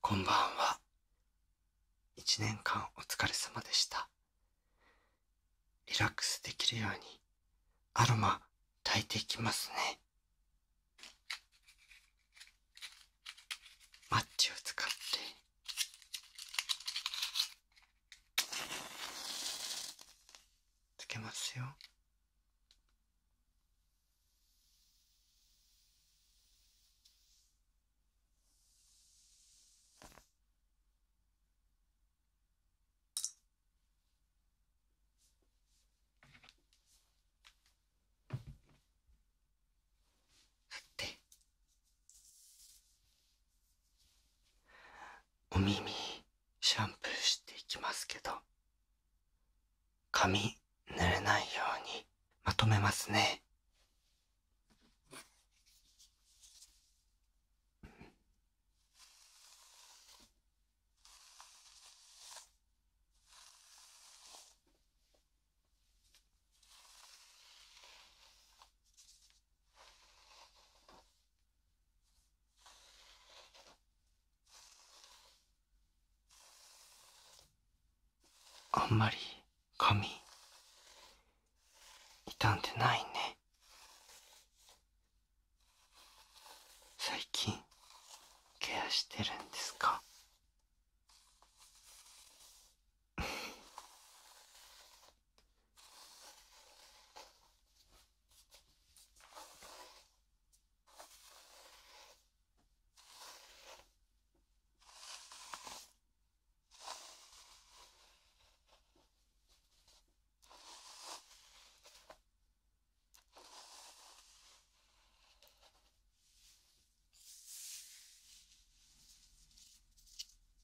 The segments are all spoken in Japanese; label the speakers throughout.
Speaker 1: こんばんは。一年間お疲れ様でした。リラックスできるようにアロマ炊いていきますね。マッチを使ってつけますよ。て。お耳シャンプーしていきますけど髪濡れないようにまとめますねあんまり髪傷んでないね最近ケアしてるんですかい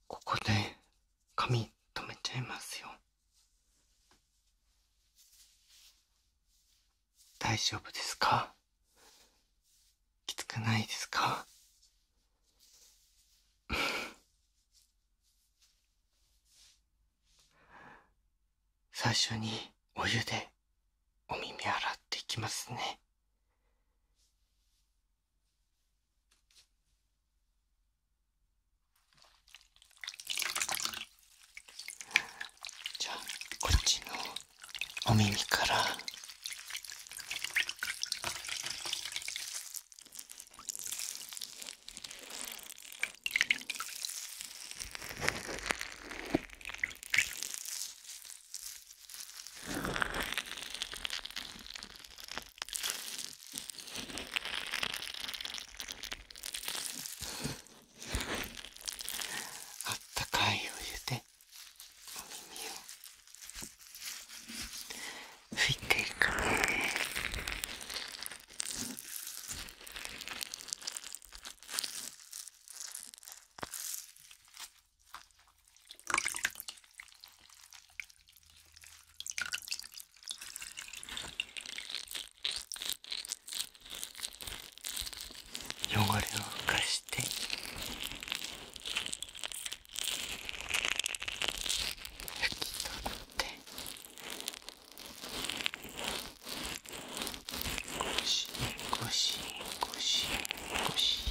Speaker 1: ここね髪留めちゃいますよ大丈夫ですかきつくないですか最初にお湯でお耳洗っていきますねじゃあこっちのお耳からあったかいお湯でお耳を拭いていくね汚れを浮かして拭き取ってゴシゴシゴ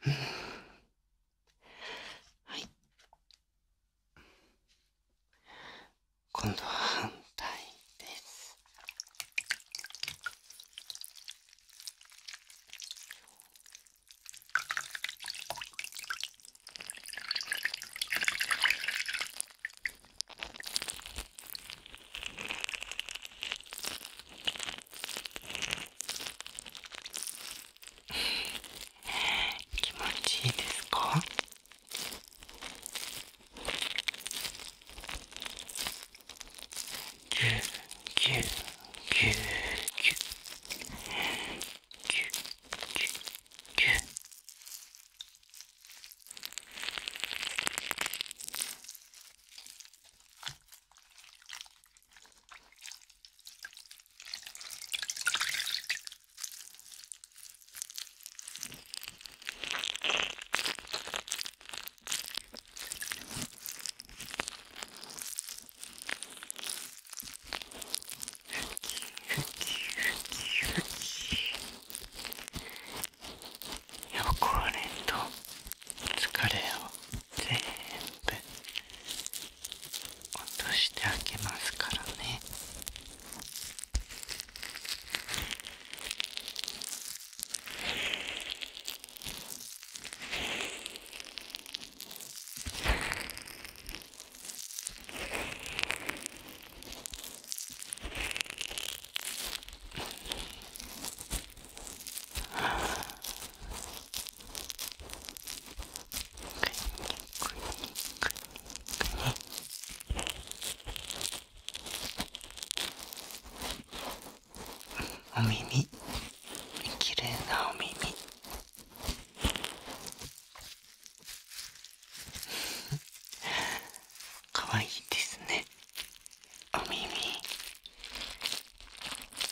Speaker 1: はい今度は反対です気持ちいいですかぎゅぎゅぎゅぎゅぎゅぎゅぎゅ汚れと疲れを全部落としてあげますからねく。く。くに。お耳綺麗なお耳かわいいですねお耳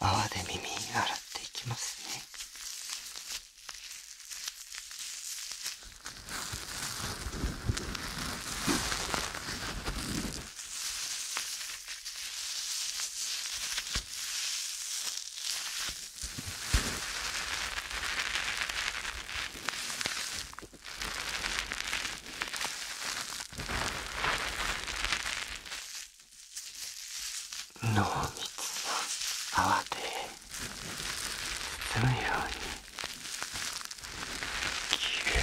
Speaker 1: 泡で耳洗っていきますね濃密な泡で包むようにきれいきれい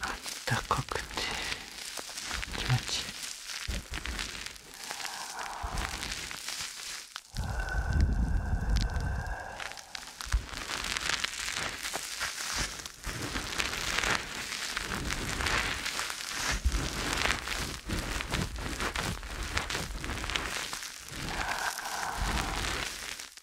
Speaker 1: あったかくて気持ちいい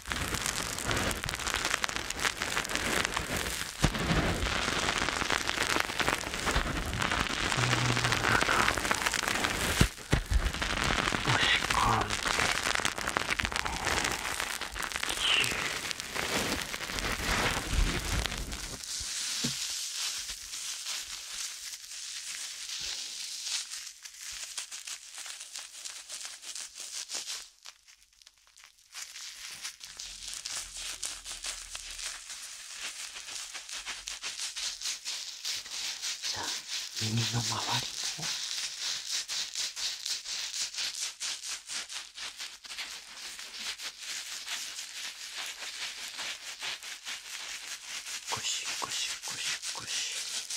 Speaker 1: しかも。じゃあ耳の周りもゴシゴシゴシゴシ。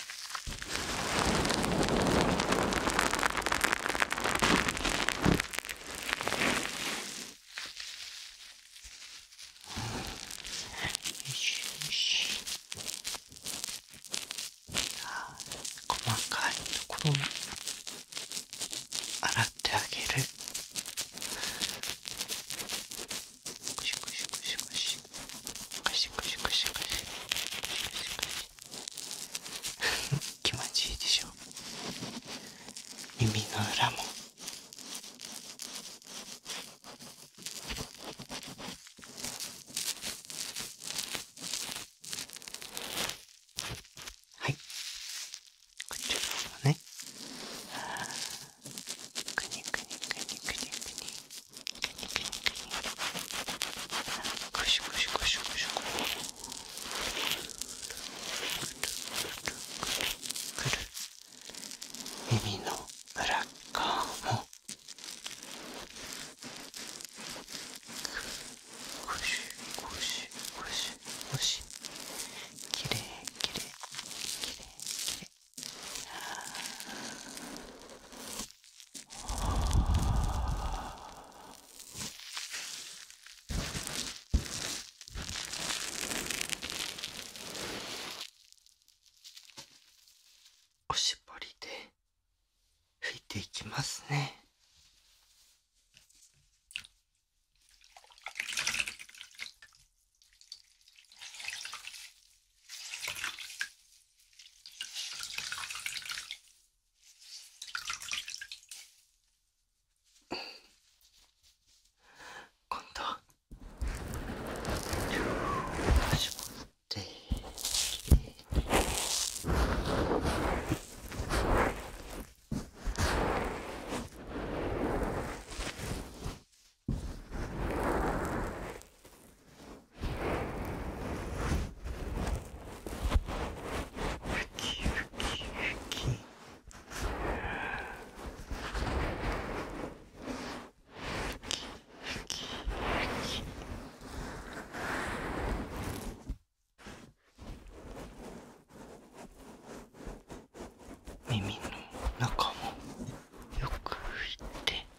Speaker 1: よし細かいところも洗ってあげるクシクシクシクシクシクシクシクシクシクシ気持ちいいでしょ耳の裏もはいこちらもねくにくにくにくにくにくしゅくしゅ、くしゅ…クシュくるくるくる耳の裏側もクくュクシュクシュクシュきれいきれいきれいきれいおしぼりで拭いていきますね。今度はきふきふきふきふきふき耳の中もよく拭いて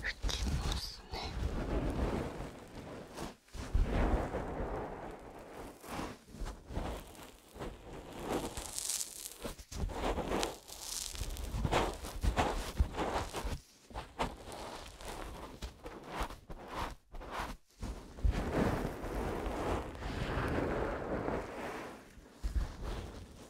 Speaker 1: 拭きますね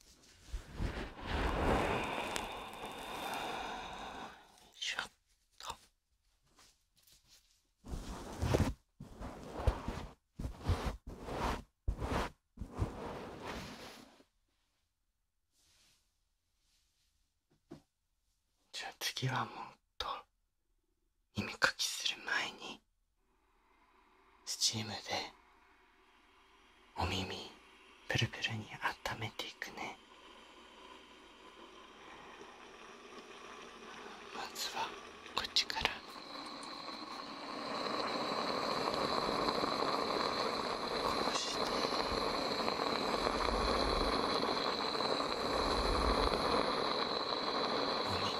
Speaker 1: よしょっとじゃあ次はもっと耳かきする前に。スチームでお耳プルプルにあっためていくねまずはこっちからこうしてお耳を温めて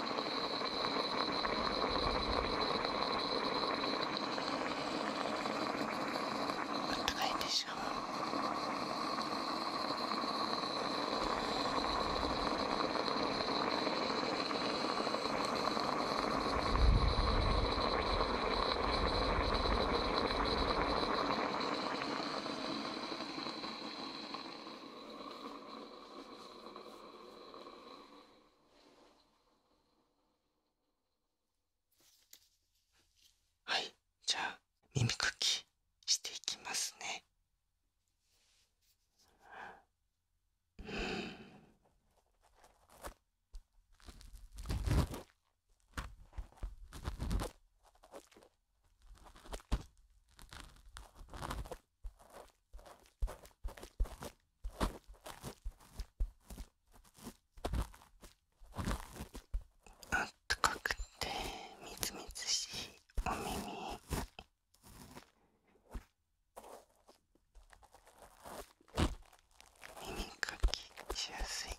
Speaker 1: あったかいでしょはいじゃあ耳かきしていきますねうんあ、高くてみずみずしいお耳。耳かきしやすい。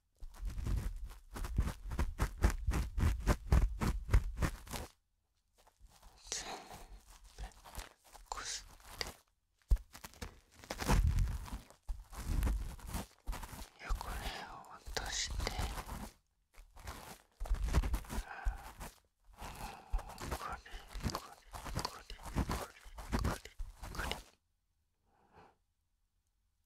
Speaker 1: 全部こすって汚れを落としてこれ、これ、これ、これ、これ、これ。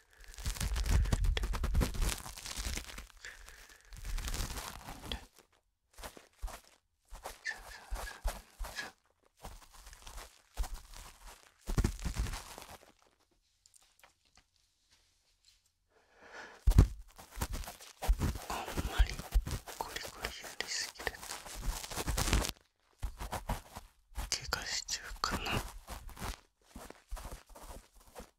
Speaker 1: あんまりゴリゴリやりすぎると怪我しちゃうかな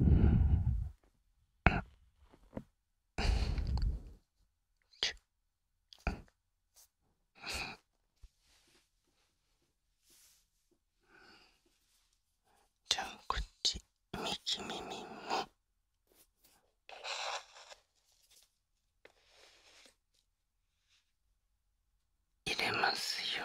Speaker 1: うん。じゃあこっち右耳も入れますよ。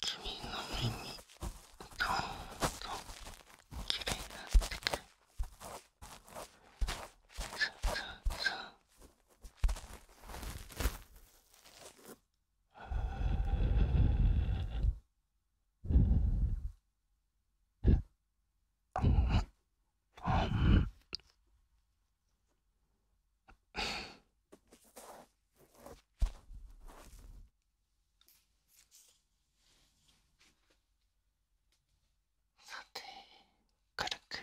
Speaker 1: 君の耳どんどんきれいになってくるそうそうそあんさて軽く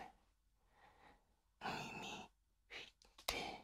Speaker 1: 耳振って。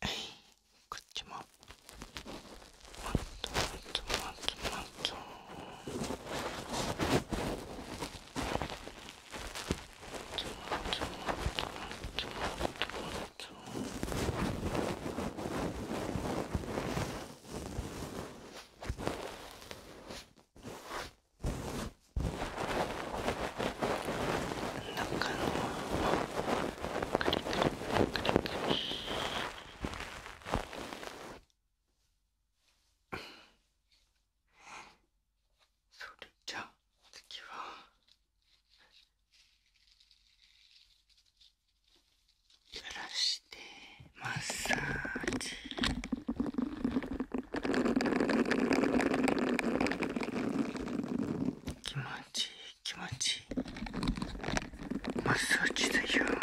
Speaker 1: こっちももっともっともっともっともっとそれじゃあ次は垂らしてマッサージ気持ちいい気持ちいいマッサージだよあ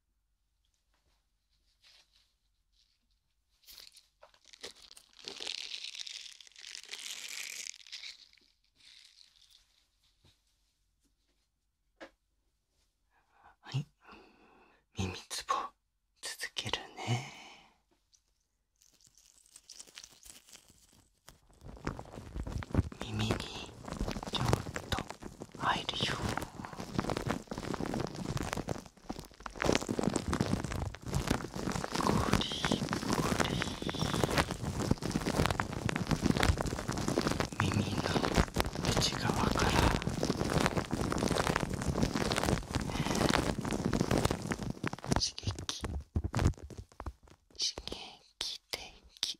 Speaker 1: はい耳つぼ続けるね耳にちょっと入るよゴリゴリ耳の内側から刺激刺激的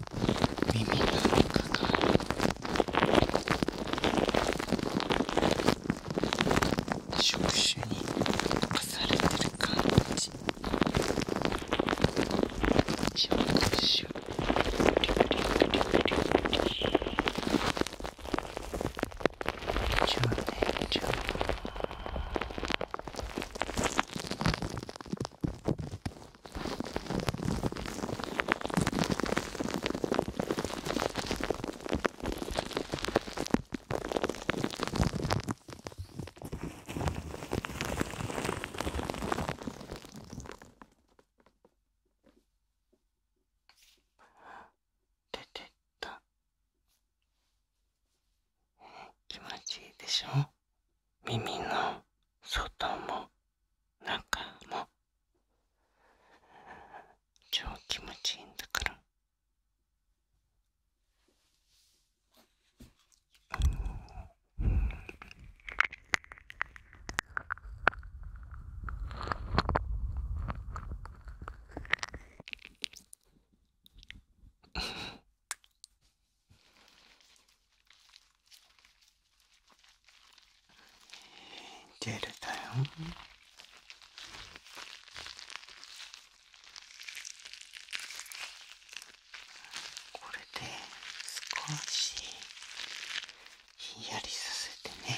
Speaker 1: 耳がかか触手に侵されてる感じ触手じゃあねじゃあ出てった気持ちいいでしょ耳の外も中も超気持ちいいんだから。うん。ジェルだよ。これで少しひんやりさせてね。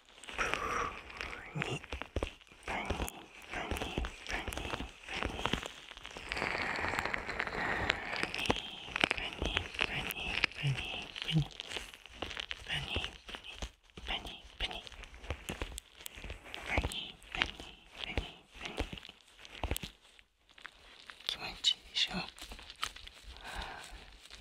Speaker 1: になになになに気持ちいいでしょ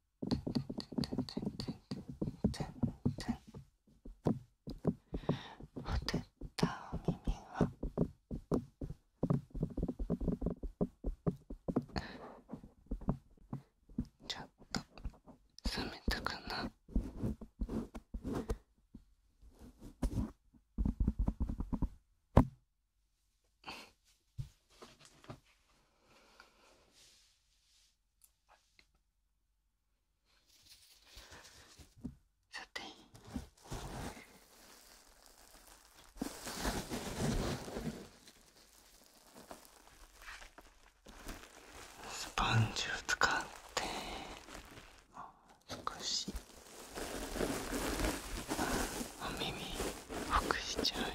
Speaker 1: てんてんんんん。んん。てててててったお耳はちょっと冷めたかなさてスポンジを使って少しお耳隠しちゃうよ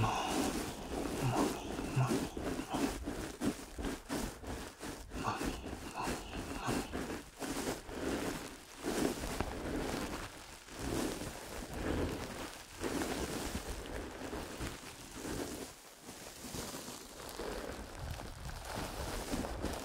Speaker 1: もみもみもみもみもみもみも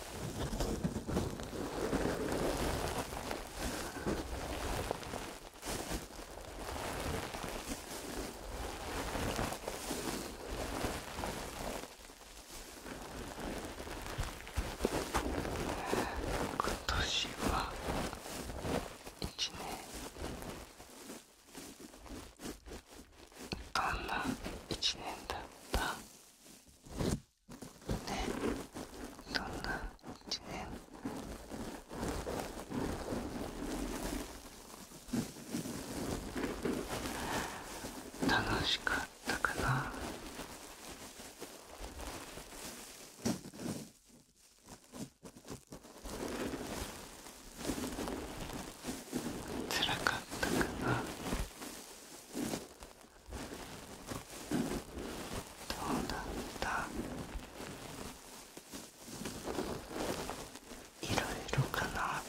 Speaker 1: 今年は一年どんな一年だったねえ。どんな一年楽しかったかなつらかったかなどうだったいろいろかな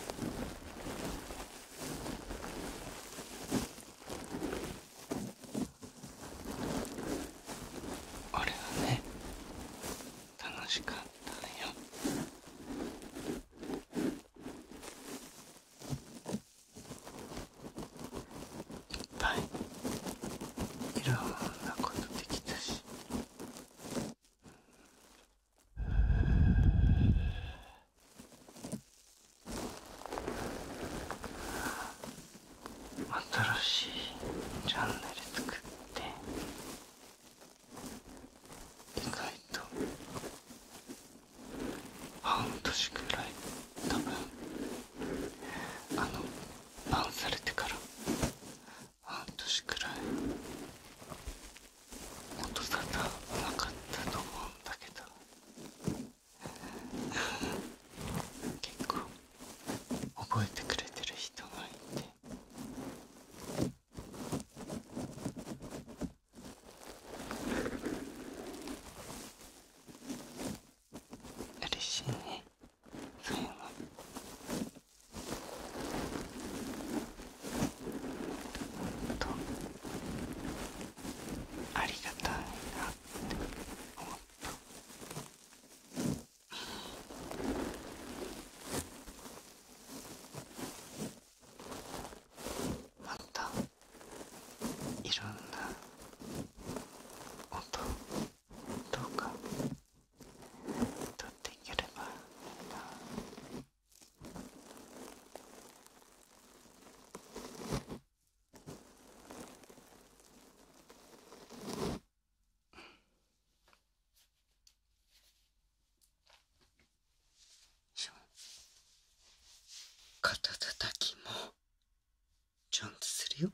Speaker 1: 俺はね楽しかったよいっぱいいろんなことできたし新しいチャンネル作って意外と半年くらい多分あのバンされてから半年くらい音沙汰なかったと思うんだけど結構覚えてくれてる人がいて。嬉しいねそういうのとありがたいなって思ったまたいろんな音どうかとっていければいいな。肩たたきもちゃんとするよ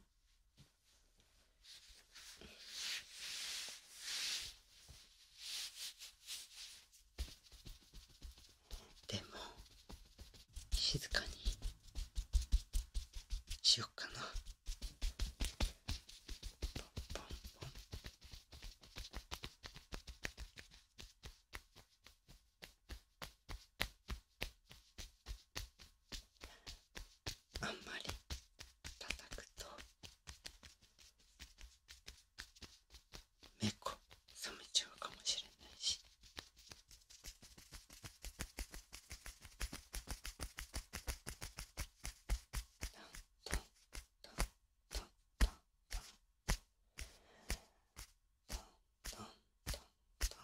Speaker 1: でも静かにしよっかなポンポンポンあんまり叩くとめこ冷めちゃうかもしれないし。トントントントントントンネル登録者数はあまりにも数値がかかる。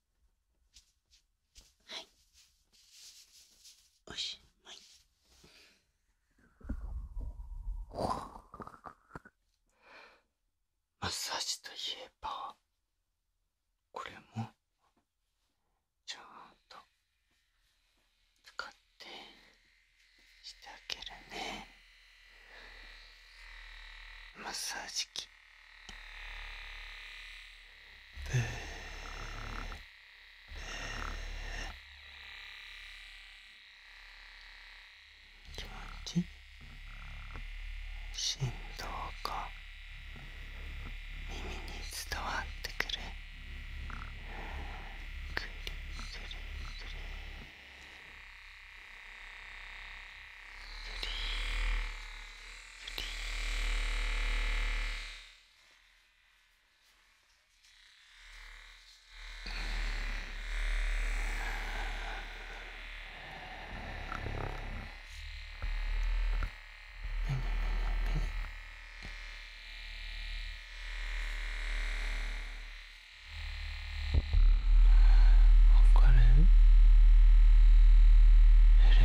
Speaker 1: はいおしまいマッサージといえばこれもちゃんと使ってしてあげるねマッサージ機気持ちいい振動が耳に伝わってくるくるくるくるくり分かる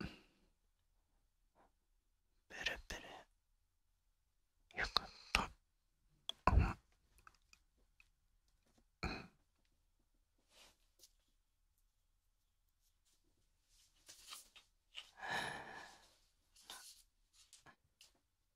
Speaker 1: ブレブレ。よかったあまうん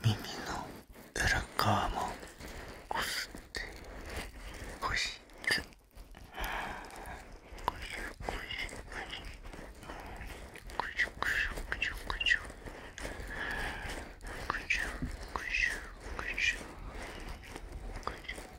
Speaker 1: 耳の裏側もこすってこしつこじゅこじゅ、こじゅこじゅ。こじゅこじゅ。こしょこしょこしょこしょこしょ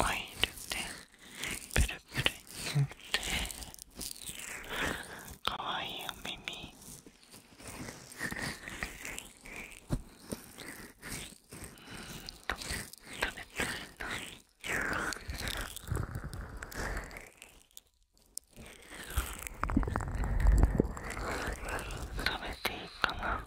Speaker 1: オイルでプルプルにてかわいいお耳食べたいな食べていいかな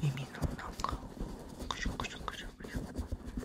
Speaker 1: 耳の中をクシュクシュクシュクシュ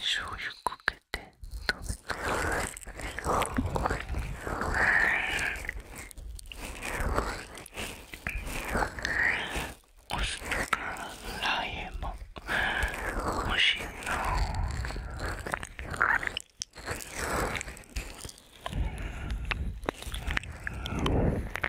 Speaker 1: 醤油かけてとべてお酢かラー油も美味しいな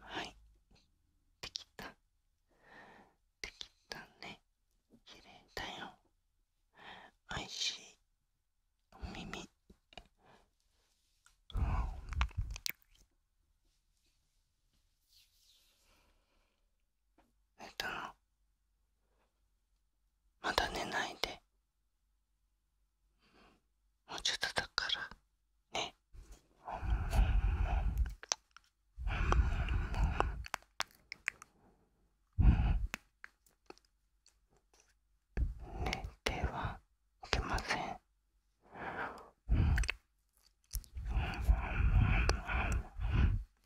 Speaker 1: はいできたできたね綺麗だよおいしいお耳うんえっとまだ寝ないでもうちょっとだからね寝てはいけません。うんうんうんうんうん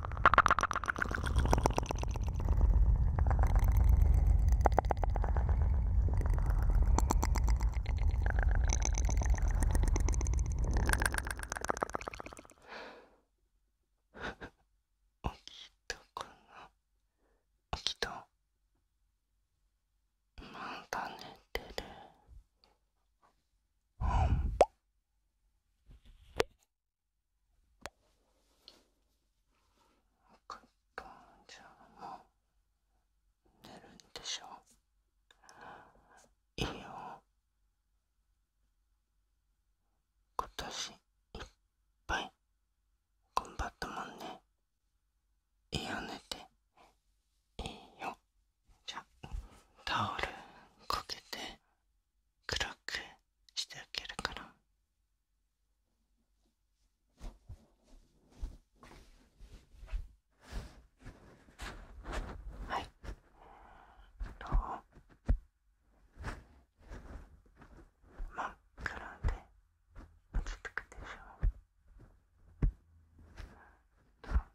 Speaker 1: 起きたかな起きたまだ寝てる。うん1本じゃもう寝るんでしょう。いいよ今年いっぱい頑張ったもんねいいよ寝ていいよじゃタオルかけて暗くしてあげるから。はいえっと。真っ暗で落ち着くでしょうどう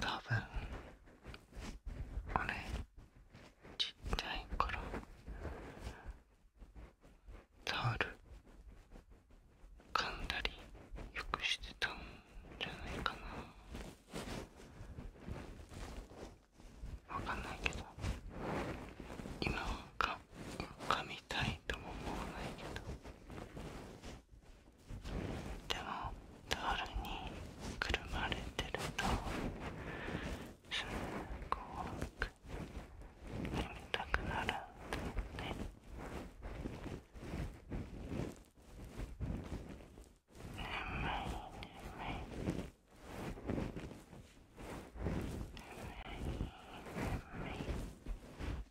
Speaker 1: 多分あれちっちゃい頃。タオル噛んだりよくしてたんじゃないかなわかんないけど今はか噛みたいとも思わないけどでもタにくるまれてるとそんす怖く眠たくなるんだよね眠い眠い眠い眠い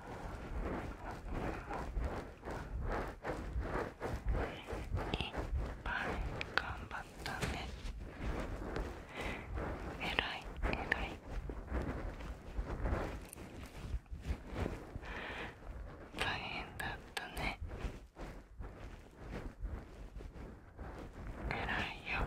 Speaker 1: いっぱい頑張ったねえらいえらい大変だったねえらいよ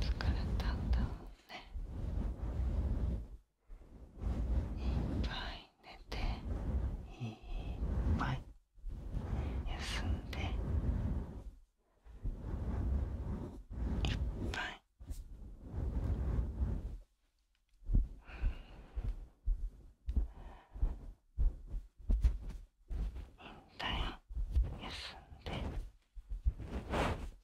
Speaker 1: 疲れたんだろうねいっぱい寝ていっぱい休んでいっぱいうん。引退休んで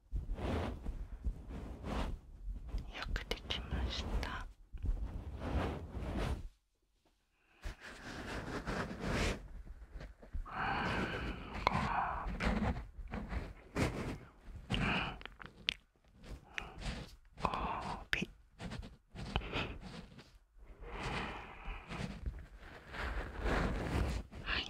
Speaker 1: よくできました。ご褒美はい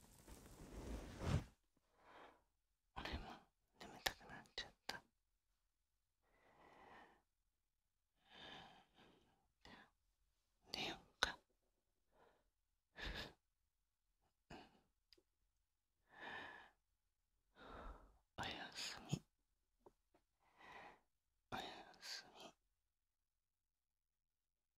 Speaker 1: 俺も眠たくなっちゃった寝ようかおやすみおやすみ